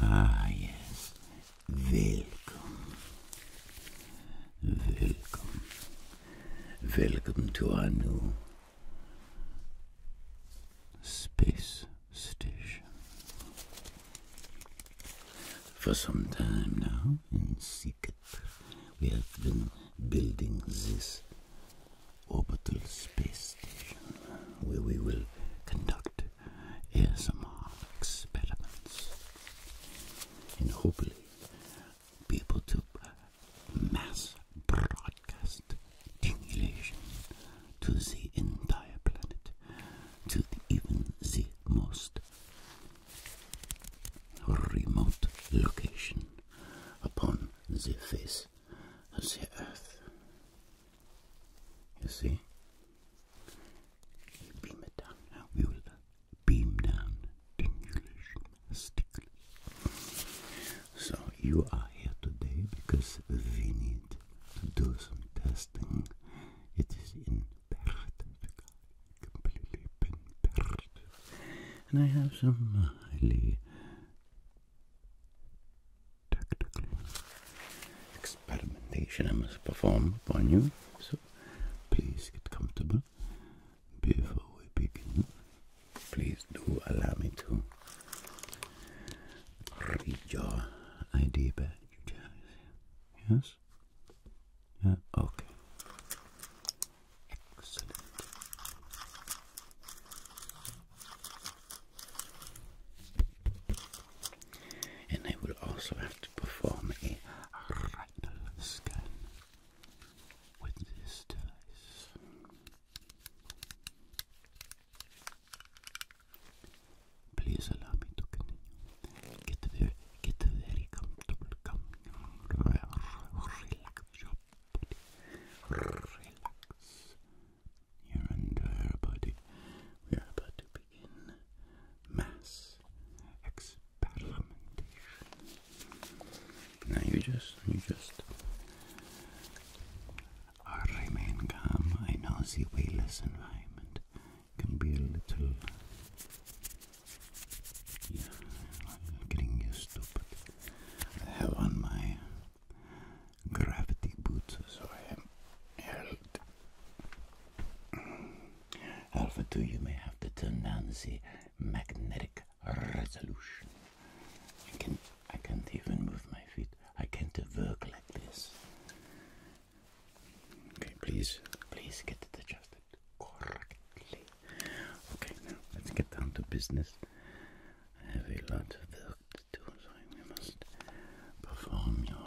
Ah, yes. Welcome. Welcome. Welcome to our new space station. For some time now, in secret, we have been building this orbital space station where we will conduct ASMR experiments and hopefully be able to mass broadcast stimulation to the entire planet, to even the most remote location upon the face of the earth. You see? Beam down We will beam down So you are here today because we need to do some testing. It is imperative, completely imperative and I have some highly tactical experimentation I must perform upon you. So please get comfortable before we begin. Please do allow me to read your ID badge. Yes? Okay. Excellent. And I will also have to perform a retinal scan with this device. Please allow me to Get very, get very comfortable. Come, relax your body. Relax your entire body. We are about to begin mass experimentation. Now you just, you just uh, remain calm. I know the way less environment can be a little yeah, getting used to I have on my gravity boots, so I am Alpha 2, you may have to turn down the magnetic resolution. I, can, I can't even move my feet. I can't work like this. please, please get to the correctly. Okay, now let's get down to business. I have a lot of work to do, so we must perform your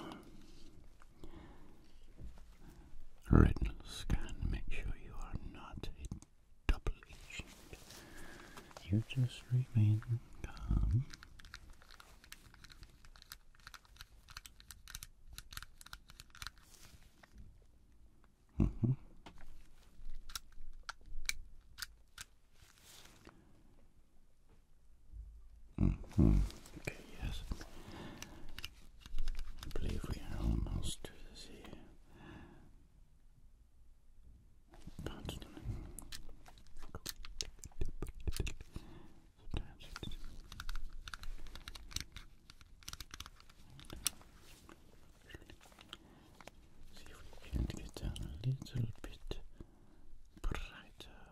retinal scan. Make sure you are not a double agent. You just remain calm. Mm -hmm. -hmm. Okay, yes. I believe we are almost to this here. See if we can get down a little bit brighter.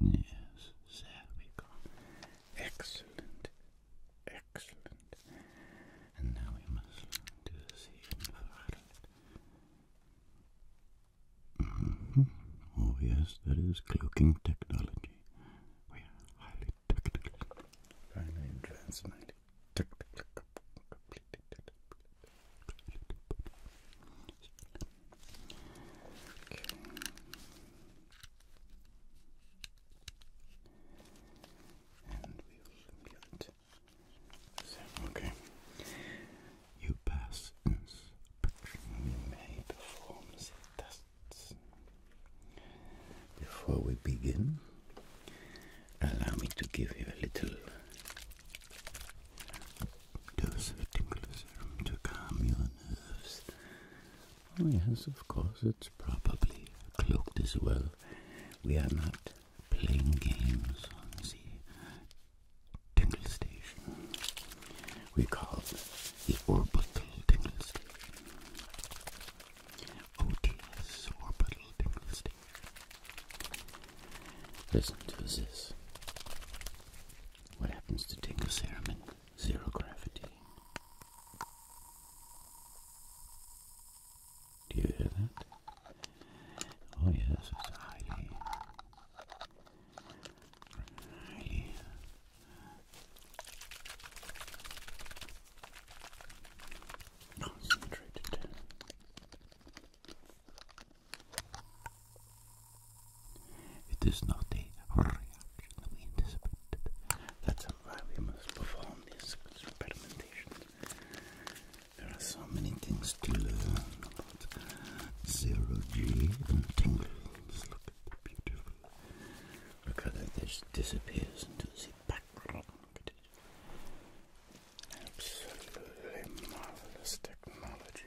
Yes, there we go. Excellent, excellent. And now we must do this even Oh yes, that is cloaking technology. We are highly technical. Highly advanced, highly technical. Completely Okay. You pass inspection. Before we begin, allow me to give you a little dose of tinclizum to calm your nerves. Oh yes, of course, it's probably cloaked as well. We are not playing games on the Tingle Station. We call the orbital dynasty. OTS orbital dynasty. Listen to this. What happens to Dingus in Zero gravity. Do you hear that? Oh yes, it's Heidi. Heidi. Concentrated. It is not a reaction that we anticipated. That's why we must perform these experimentations. There are so many things to learn about zero G and tingles. Look at the beautiful because it just disappears into the background. Absolutely marvelous technology.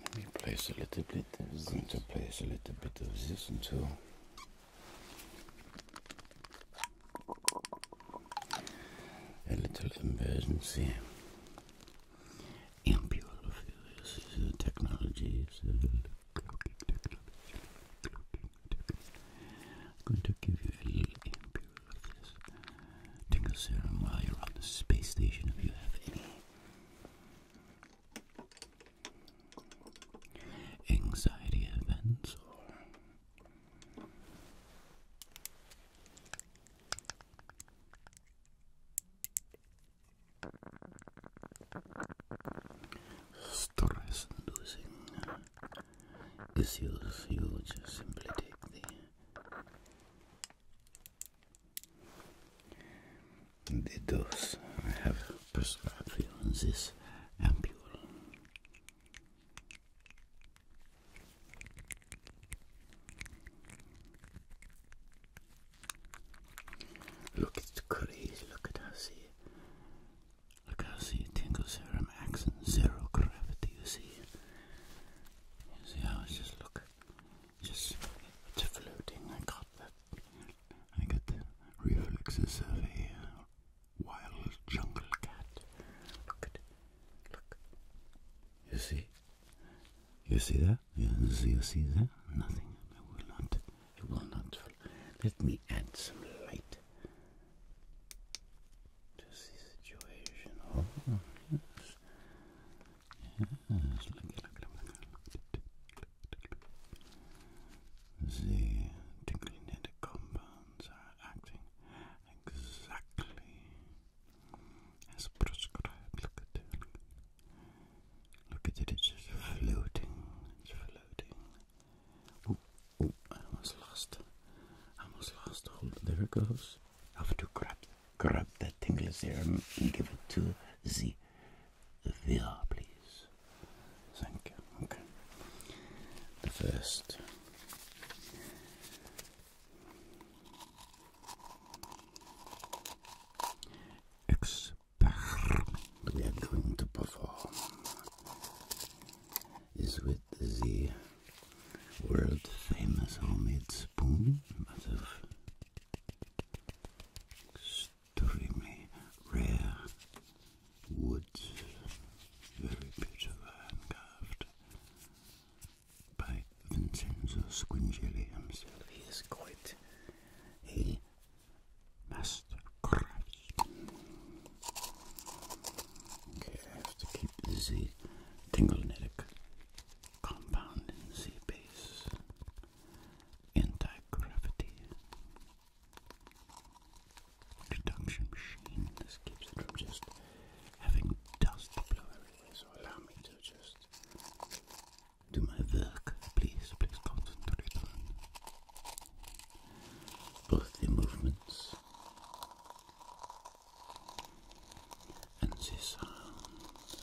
Let me place a little bit of this, I'm going to place a little bit of this until a little emergency. i is a technology. I'm going to give you a little ampule of serum while you're on the space station if you have any anxiety events or stress inducing issues, you just simply take the it does. I have personal feelings. This ampule. Look, it's crazy. Look at how see. Look how see it tingles here. I'm zero gravity. You see. You see how it's just look. Just it's floating. I got that I got reflexes of a wild jungle cat. Look at Look. You see? You see that? Yes, you see that? Nothing. I will not. I will not. Let me add some light to the situation. Oh, the tinglynetic compounds are acting exactly as prescribed. Look at it. Look at it, it's just floating. It's floating. Oh, oh, I almost lost. I almost lost. Hold there it goes. I have to grab grab that tingler serum and give it to Z VR, please. Thank you. Okay. The first experiment we are going to perform is with the world famous homemade spoon out of extremely rare woods, very beautiful and carved by Vincenzo Squingeli He is quite a master craftsman. Okay, I have to keep the Z tinglinetic compound Z base entire gravity reduction machine. This keeps it from just having dust blow everywhere. So allow me to just do my work. Please, please concentrate on both the movements and the sounds.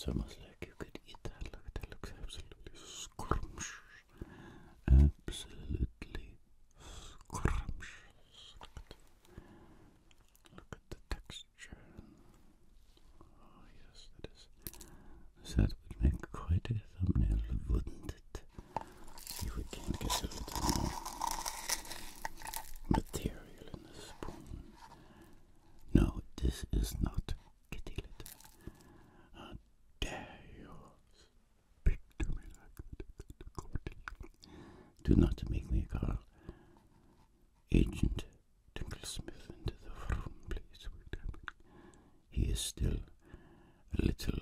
It's almost like you could eat that. Look that, looks absolutely scrumptious. Absolutely scrumptious. Look at the texture. Oh, yes, that is. That would make quite a thumbnail, wouldn't it? If we can get a little more material in the spoon. No, this is not kitty litter. How dare you do not make me call Agent Tinklesmith into the room, please. He is still a little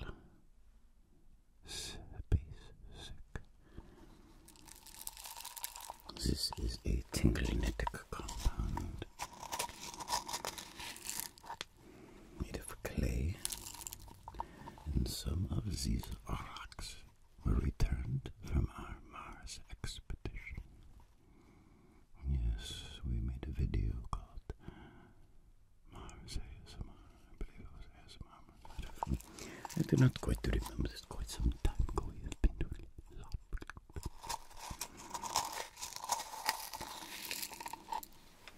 space sick. This is a tinglinetic compound made of clay, and some of these rocks were returned from our Mars expedition. Yes, we made a video called Mars ASMR, I believe it was ASMR, I do not quite remember, it's quite some time ago,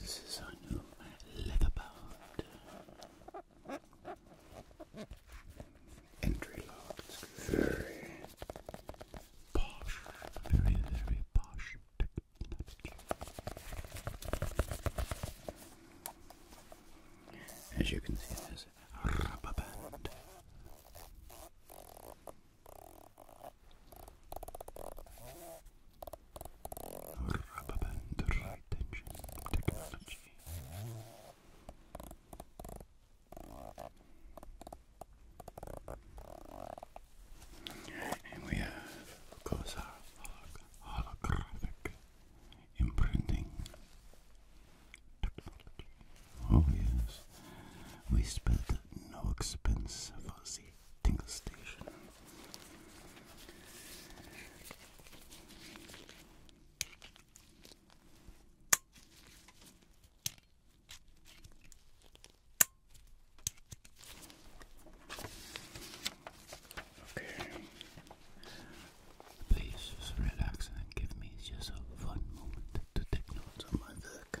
This is our new leather entry lock. very posh, very, very posh As you can see, there's a rubber Rubber band retention technology. And we have, of our holographic imprinting technology. Oh yes, we spent no expense for the tingle station. Okay. Please just relax and give me just a fun moment to take notes of my work.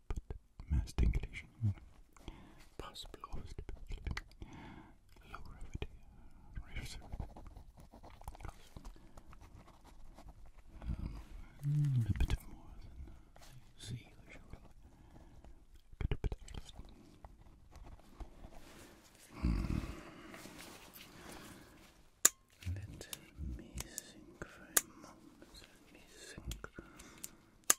mass stimulation, possible low gravity, um, mm. a bit more than usual. Hmm. Let me think for a moment. Let me think.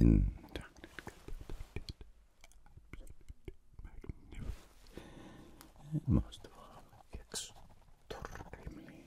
Indominate good, and most of all, extremely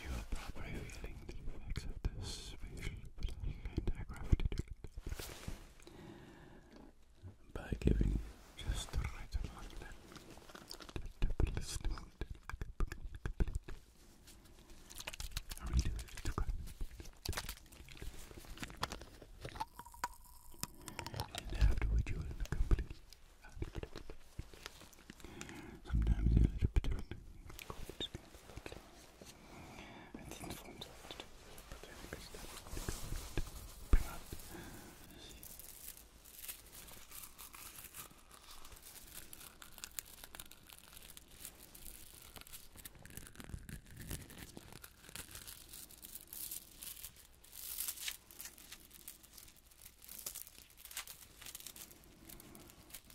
You are probably feeling the effects of this facial and I by giving just the right amount left. I mean, it's too good. And afterward, you will complete. Sometimes they're a little bit different. And the informs have but I that. Bring out.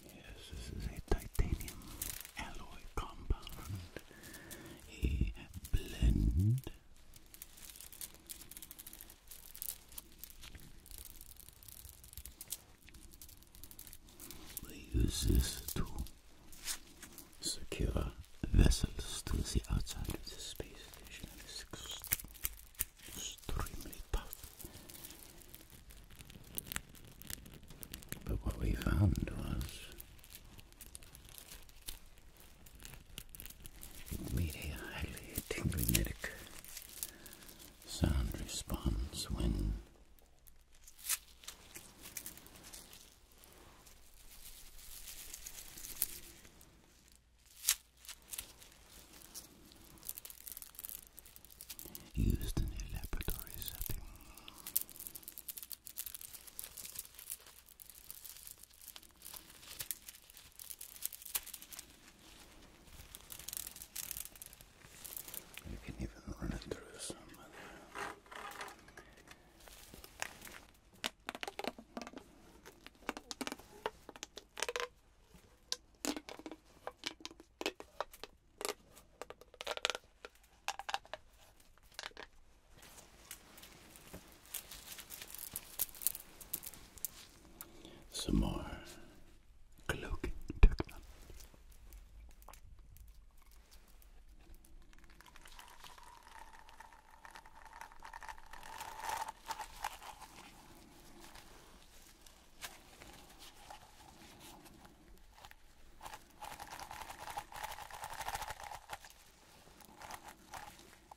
Yes, this is a titanium alloy compound, a blend we use this to secure vessels to the outside of the space station. It's extremely tough. But what we found was will meet a highly tinglynetic sound response when Used in a laboratory setting. You can even run it through some other some more cloaking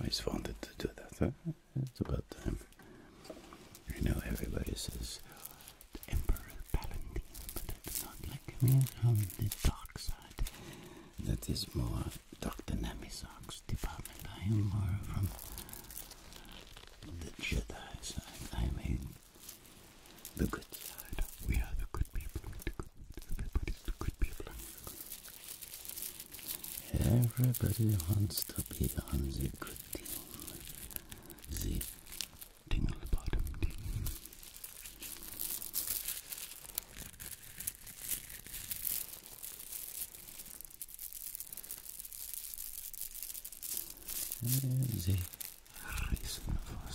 I just wanted to do that, It's about time. I know everybody says, the Emperor Palpatine, but I not like him on the dark side. That is more Dr. Namisok's department. I am more from the Jedi side. I am a, the good side. We are the good people. The everybody, the good people. Everybody wants to be on the good team. The Tingle bottom a reason for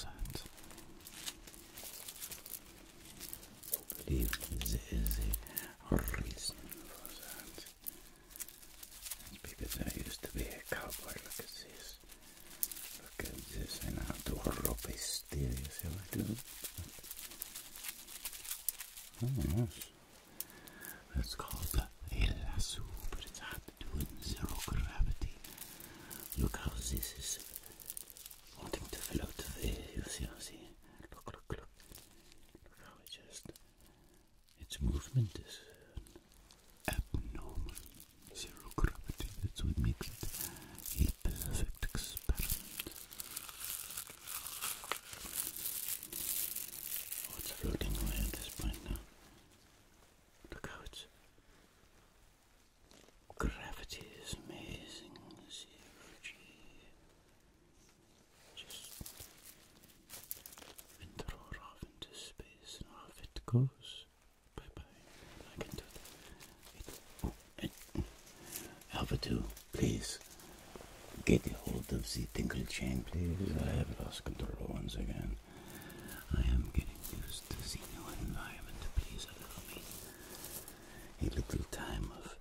that. I believe a reason for that. because I used to be a cowboy. Look at this. Look at this, en autorropa hysteria, ser vackert ut. Oh, yes. That's called the El Azul, but it's not doing zero gravity. Look how this is wanting to float away, you see, you see. Look, look, look. Look how it just, its movement is abnormal zero gravity. That's what makes it a perfect experiment. Oh, it's floating away at this point now. Look how it's. Gravity is amazing. Zero G. Just throw it off into space, and off it goes. Bye bye. I can do It, Alpha 2, please get a hold of the tinkle chain, please. I have lost control once again. I am getting used to the new environment. Please allow me a little time of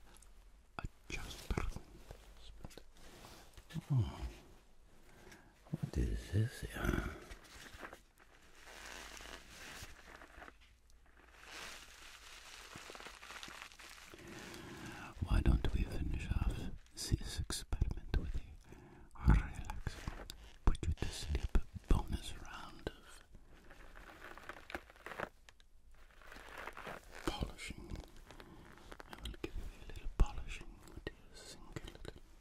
adjustment. Oh. What is this? Why don't we finish off this experiment with a relaxing, put you to sleep bonus round of polishing? I will give you a little polishing, dear, sink a little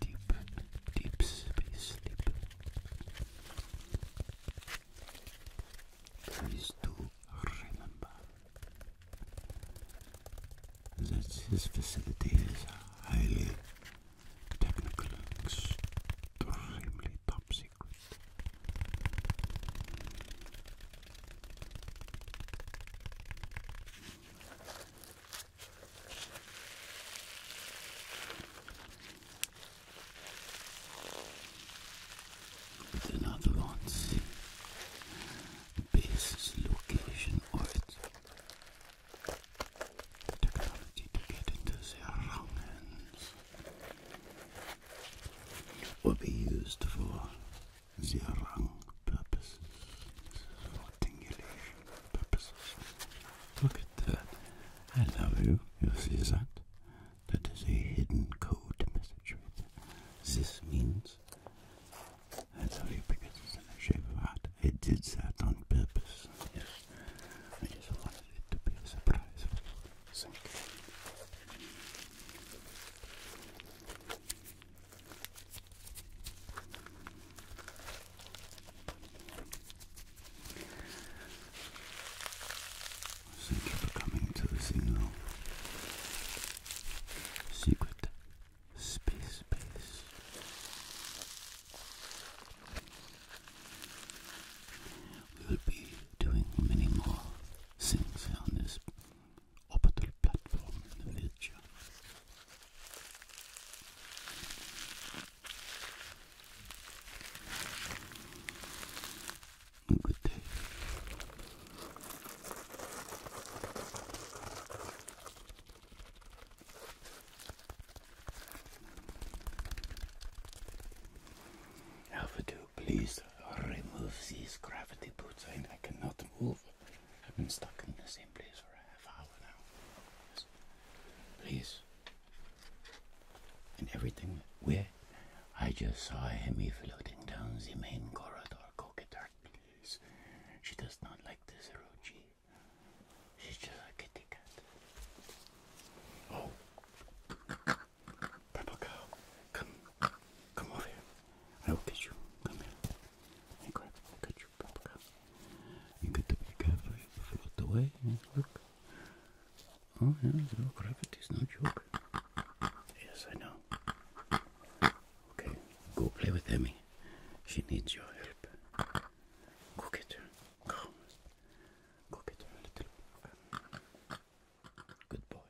deep, deep space sleep. Please do remember that this facility is highly technical and extremely top secret. With another one's base location or technology to get into their wrong hands will be used for the wrong purposes. This Look at that. I love you. You see that? That is a hidden code message. This means I love you because it's in the shape of heart. I did that on purpose. Yes. I just wanted it to be a surprise for you. Thank you. Thank you for coming to the signal. Secret space We will be doing many more things on this orbital platform in the future. Good day. please remove these gravity boots. I cannot move. I've been stuck in the same place for a half hour now. Please, And everything where I just saw Hemi floating down the main corridor. Go please. She does not like this Roji. She's just a kitty cat. Oh. Purple cow, come, come over here. I will get you. Come here. Hey, grab, you got to be careful, you float away. Look. Oh, yeah, no, is no joke. Yes, I know. Okay, go play with Emmy. She needs your help. Go get her. Go. Go get her, little. Good boy.